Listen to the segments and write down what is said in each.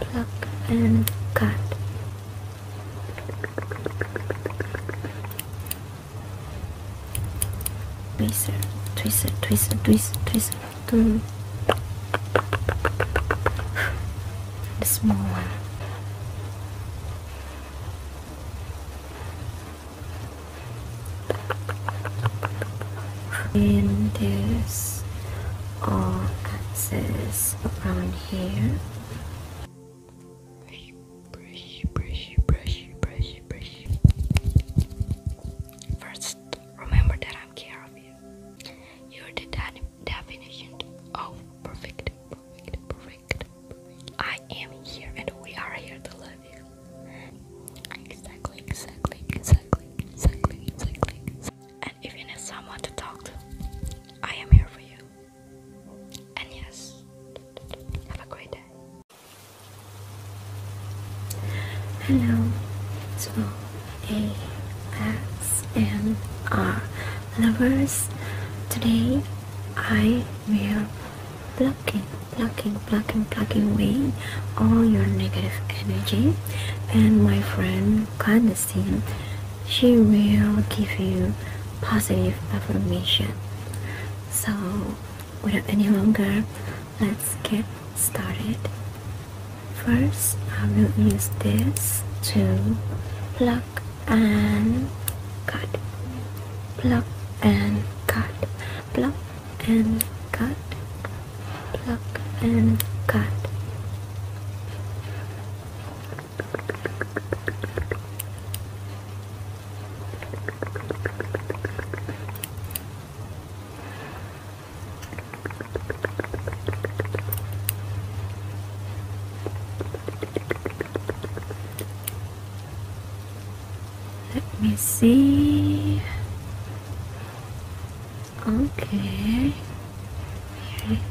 Pluck and cut. Twister, twister, twister, twister, twister. Mm. The small and there's all axes around here brush brush brush brush brush brush first remember that I'm care of you you're the definition of perfect perfect perfect I am here and we are here to love you Exactly, exactly, exactly, exactly, exactly. And if you need someone to talk to, I am here for you. And yes, have a great day. Hello. So, ASMR lovers, today I will blocking, blocking, plucking plucking away all your negative energy and my friend Clandestine she will give you positive affirmation so without any longer let's get started first I will use this to pluck and cut pluck and cut pluck and cut, and cut. Let me see. Okay. Yes.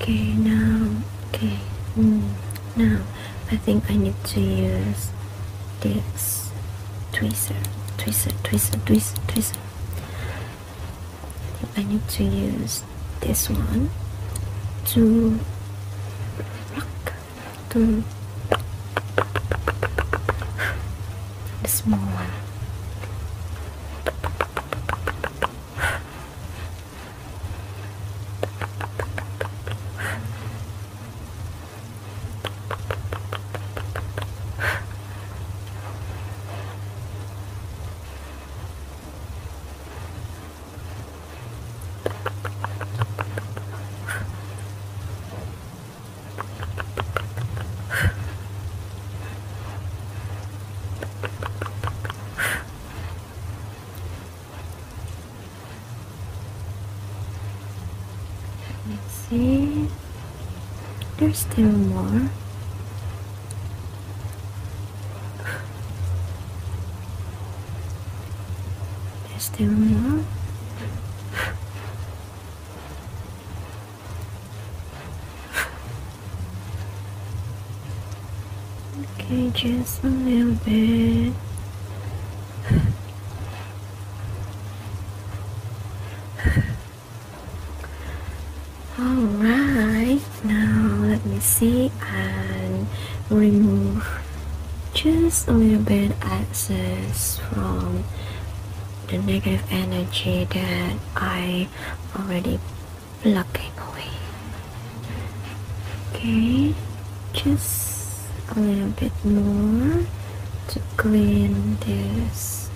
Okay, now, okay, mm, now I think I need to use this tweezer, tweezer, tweezer, tweezer, tweezer. I, I need to use this one to rock, to the small one. Let me see. There's still more. There's still more okay, just a little bit. Alright, now let me see and remove just a little bit access from the negative energy that I already blocking away. Okay, just a little bit more to clean this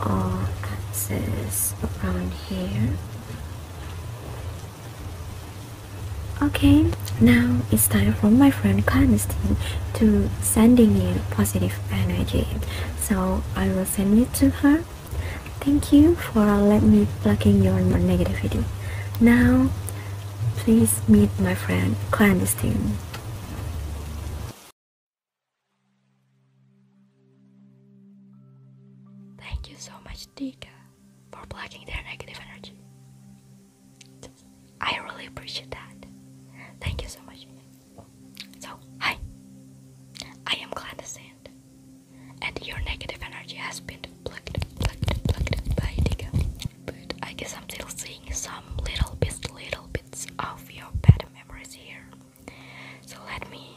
all access around here. Okay, now it's time for my friend Clandestine to sending you positive energy. So I will send it to her. Thank you for letting me plugging your negativity. Now, please meet my friend Clandestine. Thank you so much, Dika for blocking their negative energy. I really appreciate that. Thank you so much. So, hi. I am Clandestine, and your negative energy has been blocked, blocked, blocked by Diga. I guess I'm still seeing some little bits, little bits of your bad memories here. So let me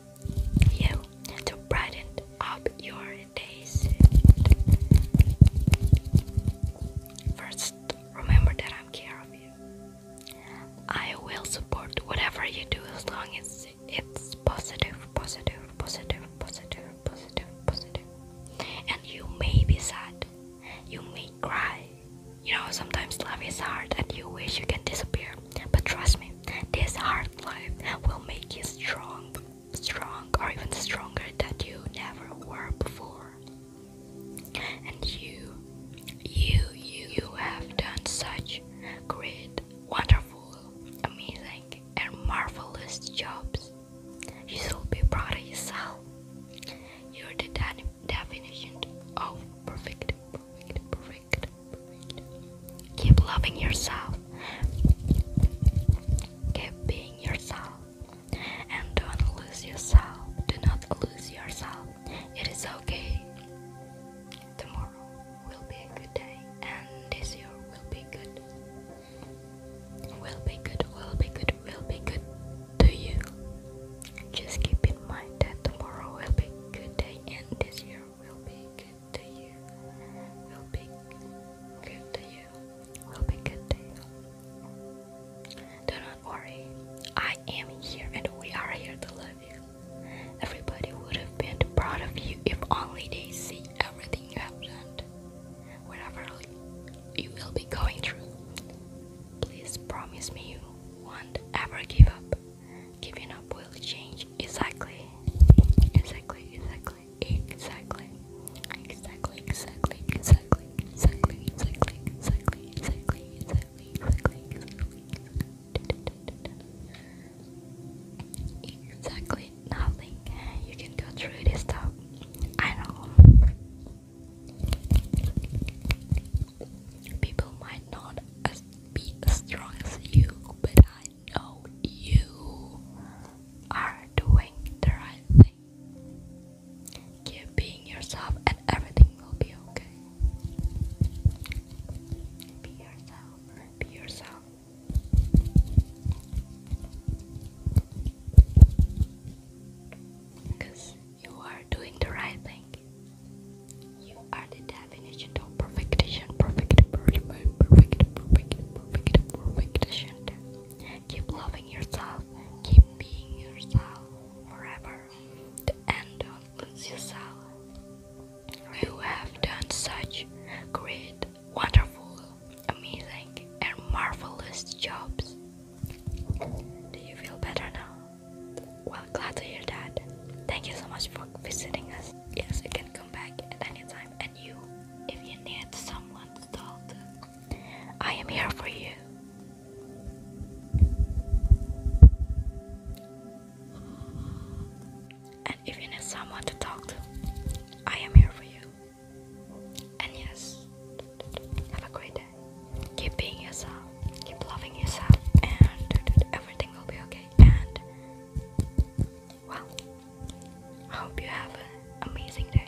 you to brighten up your days. First, remember that I'm care of you. I will support whatever you do as long as it's positive, positive, positive, positive, positive, positive. And you may be sad, you may cry, you know, sometimes love is hard and you wish you can disappear. But trust me, this hard life will make you strong, strong, or even stronger than you never were before. And you, you, you, you have done such great, wonderful, amazing, and marvelous jobs. You should be proud of yourself. You're the definition of perfect, perfect, perfect, perfect. Keep loving yourself. Keep being yourself. And don't lose yourself. Do not lose yourself. It is okay. Tomorrow will be a good day, and this year will be good. Will be good, will be good, will be good to you. Just keep in mind that tomorrow will be good day and this year will be good to you. Will be good to you. Will be good to Do not worry. I am here and we are here to love you. Everybody would have been proud of you if only they see everything you have done. Whatever you will be going through. Please promise me you won't ever give up. Giving up will change exactly, exactly, exactly, exactly, exactly, exactly, exactly, exactly, exactly, exactly, exactly, exactly, exactly, exactly, exactly, nothing. You can go through this stuff. I know. People might not be as strong as you, but I know you are doing the right thing. Keep being yourself, and everything will be okay. Be yourself. Be yourself. Because you are doing the right thing. You are the definition of perfection, perfect, perfect, perfect, perfect, perfect, perfection. Keep loving yourself, keep being yourself forever. The end don't lose yourself. You have done such great wonderful, amazing, and marvelous jobs. Do you feel better now? Well, to hear that. Thank you so much for visiting us. Yes, you can come back at any time. And you, if you need someone to talk to, I am here for you. And if you need someone to talk to, I am here for you. And yes, have a great day. Keep being yourself, keep loving yourself, and everything will be okay. And well, I hope you have an amazing day.